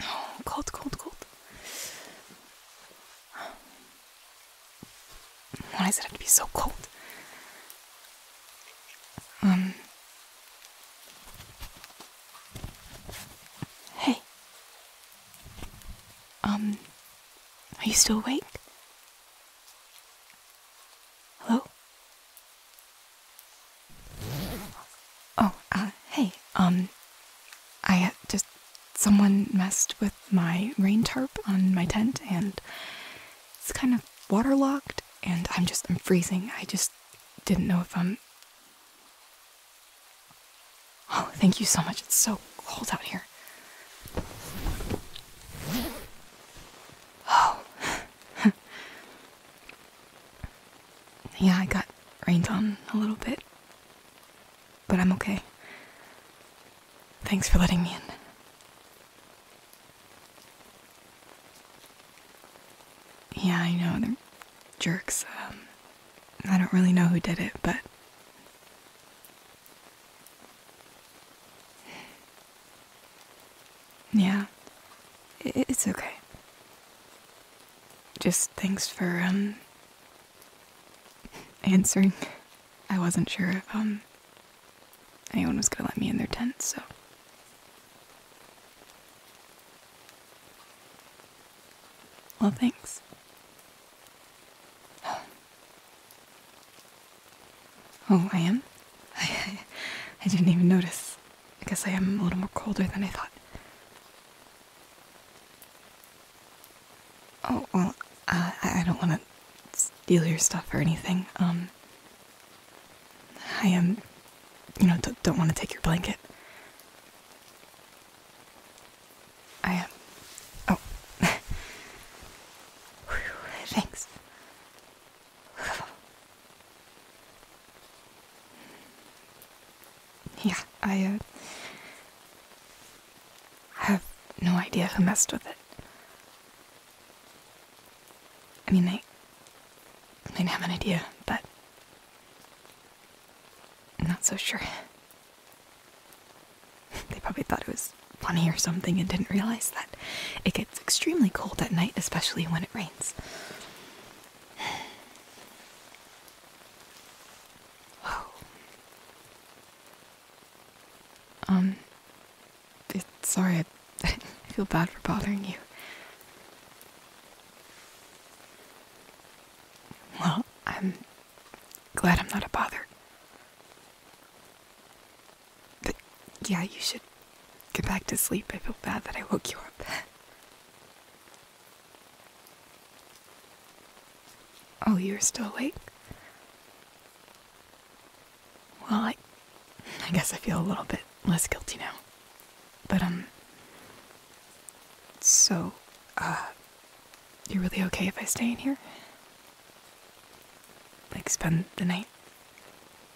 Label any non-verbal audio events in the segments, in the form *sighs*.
No, *sighs* cold, cold, cold. Why is it have to be so cold? Um. Hey. Um. Are you still awake? Hello? Oh, uh, hey, um, I uh, just. Someone messed with my rain tarp on my tent and it's kind of waterlogged and I'm just. I'm freezing. I just didn't know if I'm. Oh, thank you so much. It's so cold out here. Oh, *laughs* yeah, I got rained on a little bit. But I'm okay. Thanks for letting me in. Yeah, I know, the jerks. Um, I don't really know who did it, but. Yeah, it's okay. Just thanks for, um, *laughs* answering. I wasn't sure if, um, anyone was gonna let me in their tent, so. Well, thanks. *gasps* Oh, I am? I, *laughs* I, I didn't even notice. I guess I am a little more colder than I thought. Oh, well, uh, I don't want to steal your stuff or anything. Um, I am, you know, don't want to take your blanket. I am. Oh. *laughs* thanks. *sighs* yeah, I uh, have no idea who messed with it. I mean, they I have an idea, but I'm not so sure. *laughs* they probably thought it was funny or something and didn't realize that it gets extremely cold at night, especially when it rains wow. *sighs* Um, sorry, I, I *laughs* feel bad for bothering you. Well, I'm glad I'm not a bother. But yeah, you should Get back to sleep. I feel bad that I woke you up. *laughs* oh, you're still awake? Well, I, guess I feel a little bit less guilty now. But, um, so, uh, you are really okay if I stay in here? Like, spend the night?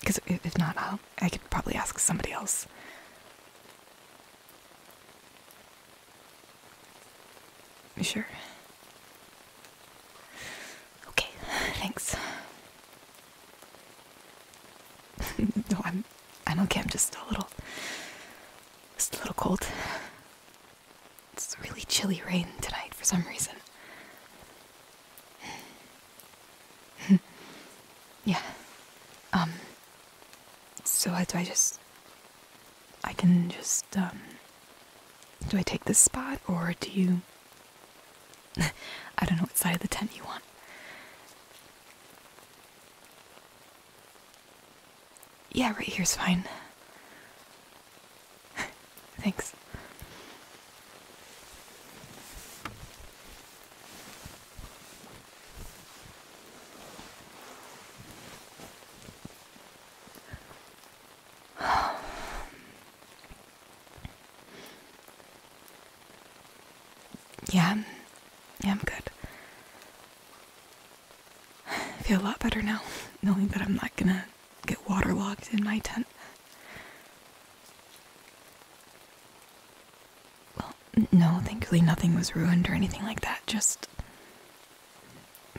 Because if not, I'll, I could probably ask somebody else. You sure? Okay, *sighs* thanks. *laughs* no, I'm I'm okay. I'm just a little just a little cold. It's really chilly rain tonight for some reason. *sighs* yeah. Um. So I, do I just? I can just um, Do I take this spot or do you? *laughs* I don't know what side of the tent you want. Yeah, right here's fine. *laughs* Thanks. Yeah, yeah, I'm good. I feel a lot better now, knowing that I'm not gonna get waterlogged in my tent. Well, no, thankfully nothing was ruined or anything like that. Just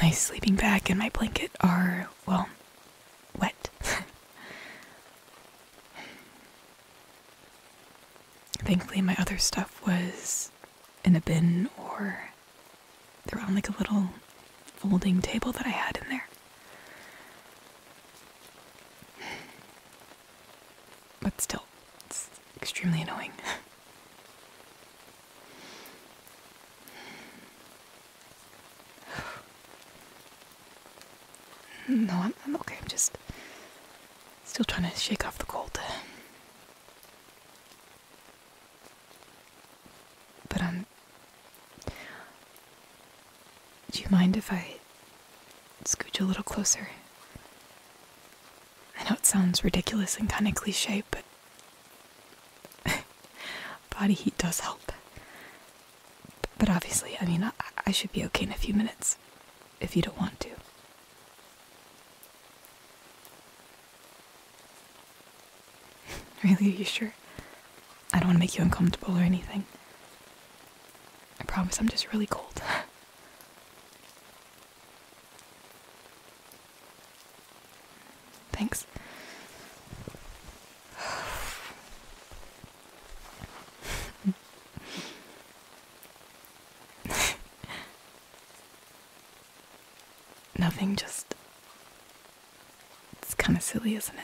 my sleeping bag and my blanket are, well, wet. *laughs* Thankfully, my other stuff was in a bin or they're on like a little folding table that I had in there. But still, it's extremely annoying. *laughs* no, I'm, okay. I'm just still trying to shake off the cold. But I'm do you mind if I scooch a little closer? I know it sounds ridiculous and kind of cliche, but *laughs* body heat does help. But obviously, I mean, I, I should be okay in a few minutes if you don't want to. *laughs* really, are you sure? I don't want to make you uncomfortable or anything. I promise I'm just really cold. *laughs* Thanks. *laughs* Nothing, just. It's kind of silly, isn't it?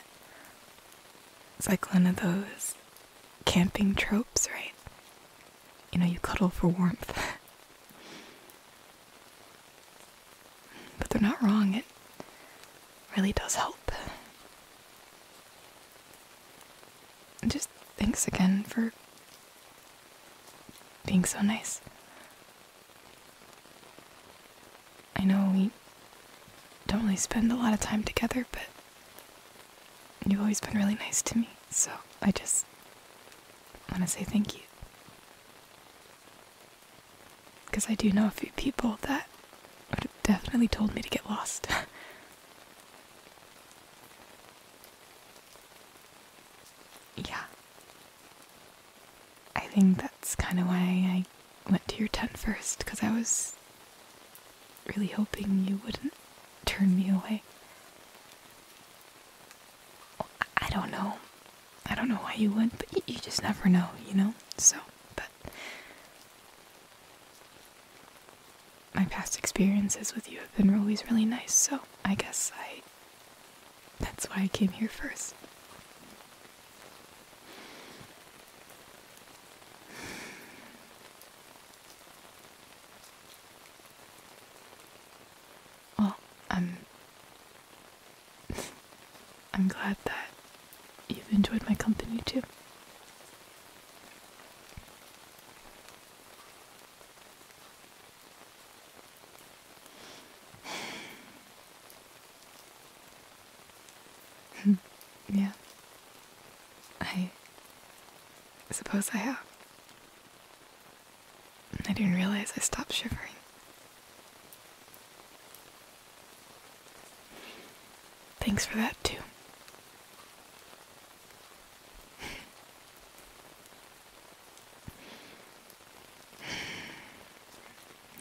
It's like one of those camping tropes, right? You know, you cuddle for warmth. *laughs* but they're not wrong, it really does help. just thanks again for being so nice. I know we don't really spend a lot of time together, but you've always been really nice to me, so I just want to say thank you. Because I do know a few people that would have definitely told me to get lost. *laughs* yeah. I think that's kind of why I went to your tent first because I was really hoping you wouldn't turn me away. I don't know. I don't know why you would, but you just never know, you know? So, but. My past experiences with you have been always really nice, so I guess I. That's why I came here first. Well, I'm. I'm glad that you've enjoyed my company too. *laughs* yeah. I suppose I have. I didn't realize I stopped shivering. Thanks for that, too.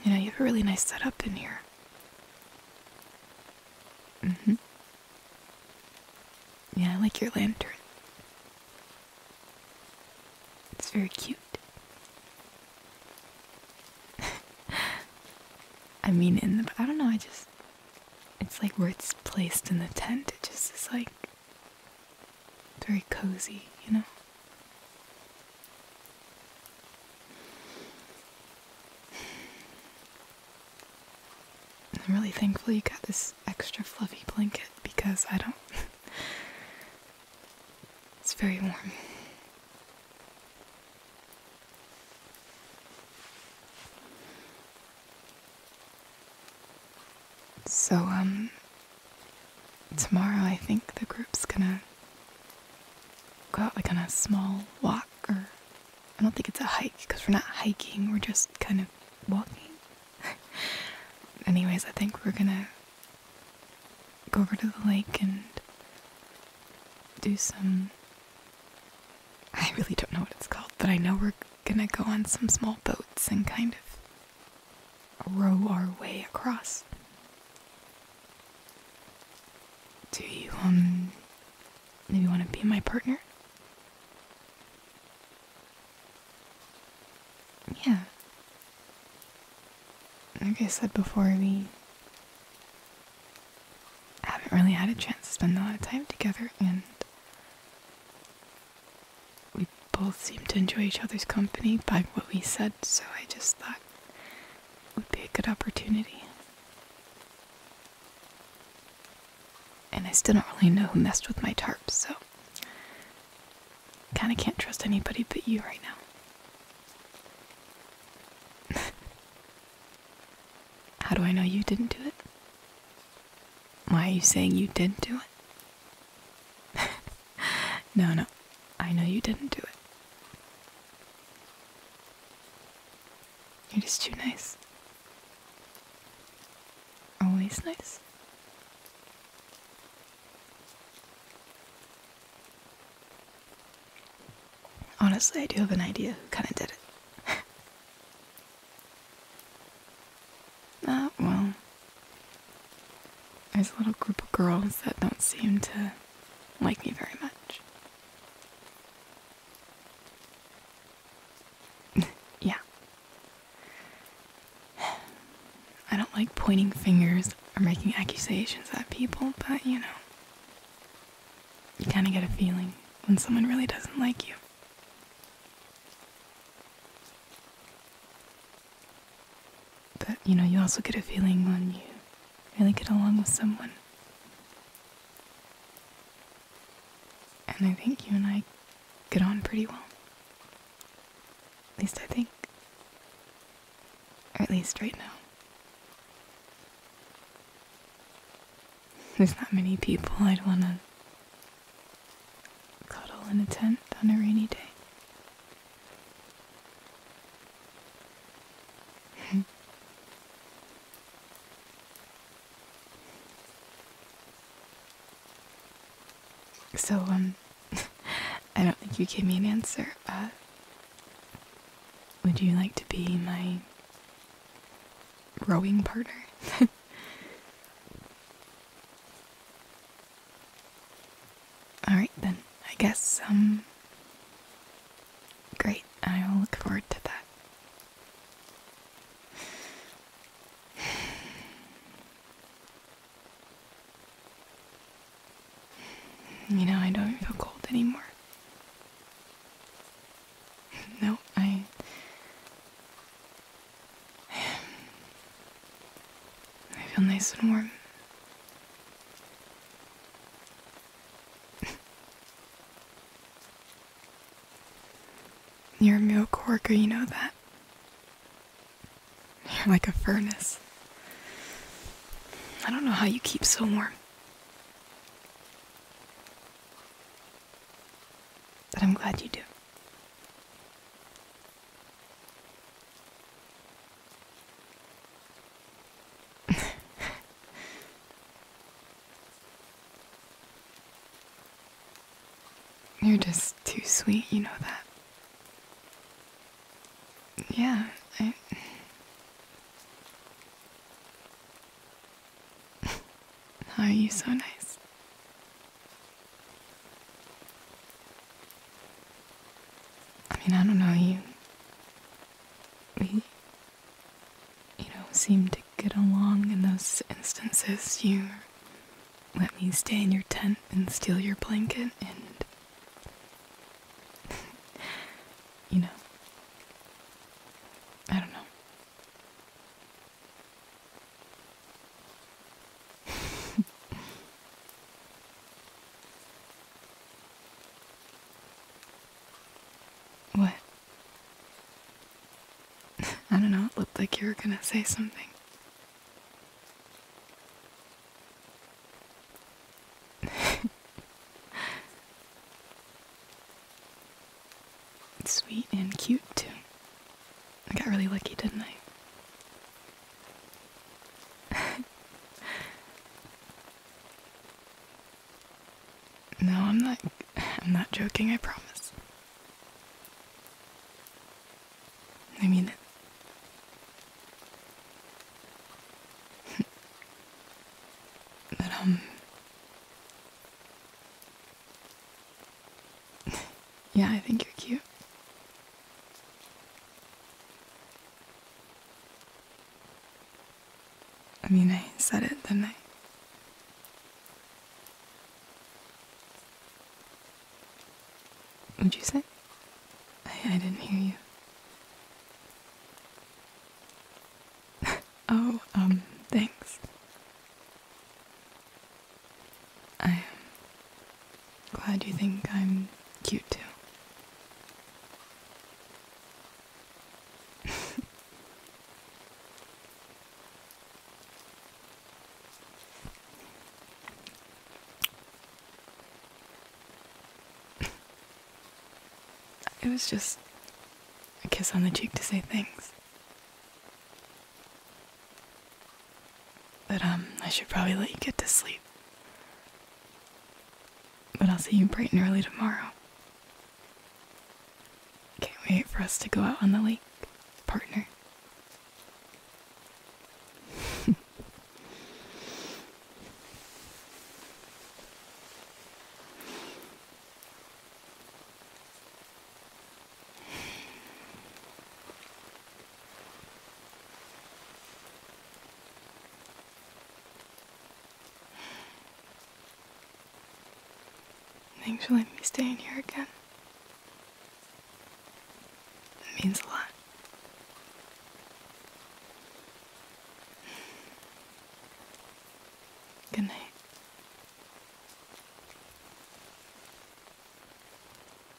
You know, you have a really nice setup in here. Mm hmm. Yeah, I like your lantern. It's very cute. *laughs* I mean, in the. I don't know, I just. It's like where it's placed in the tent, it just is like. very cozy, you know? I'm really thankful you got this extra fluffy blanket because I don't. *laughs* it's very warm. So, um, tomorrow I think the group's gonna go out like on a small walk or I don't think it's a hike because we're not hiking, we're just kind of walking. *laughs* Anyways, I think we're gonna go over to the lake and do some. I really don't know what it's called, but I know we're gonna go on some small boats and kind of row our way across. Do you, um, maybe want to be my partner? Yeah. Like I said before, we haven't really had a chance to spend a lot of time together, and we both seem to enjoy each other's company by what we said, so I just thought would be a good opportunity. And I still don't really know who messed with my tarp, so kind of can't trust anybody but you right now. *laughs* How do I know you didn't do it? Why are you saying you did not do it? *laughs* no, no. I know you didn't do it. You're just too nice. Always nice. Honestly, I do have an idea who kind of did it. *laughs* ah, well. There's a little group of girls that don't seem to like me very much. *laughs* yeah. *sighs* I don't like pointing fingers or making accusations at people, but you know, you kind of get a feeling when someone really doesn't like you. But you know, you also get a feeling when you really get along with someone. And I think you and I get on pretty well. At least I think. Or at least right now. There's not many people I'd want to cuddle in a tent on a rainy day. *laughs* so, um, *laughs* I don't think you gave me an answer. would you like to be my rowing partner? *laughs* Alright then, I guess, um, Great, I will look forward to that. *sighs* You know, I don't feel cold anymore. *laughs* No, I. *sighs* I feel nice and warm. You're a milk worker, you know that. You're like a furnace. I don't know how you keep so warm. But I'm glad you do. *laughs* You're just too sweet, you know that. Yeah, How are you so nice? I mean, I don't know, you. We. You know, seem to get along in those instances. You let me stay in your tent and steal your blanket and. *laughs* you know. I don't know. *laughs* What? *laughs* I don't know, it looked like you were gonna say something. *laughs* Sweet and cute, too. I got really lucky, didn't I? *laughs* no, I'm not I'm not joking, I promise. I mean it. *laughs* but um *laughs* yeah, I think you're cute. I mean, I said it, didn't I? What'd you say? I, I didn't hear you. *laughs* oh, um, thanks. I, um, Glad you think I'm cute too. *laughs* it was just a kiss on the cheek to say thanks. But, um, I should probably let you get to sleep. But I'll see you bright and early tomorrow. Can't wait for us to go out on the lake, partner. *laughs* Thanks for letting me stay in here again. It means a lot. Good night.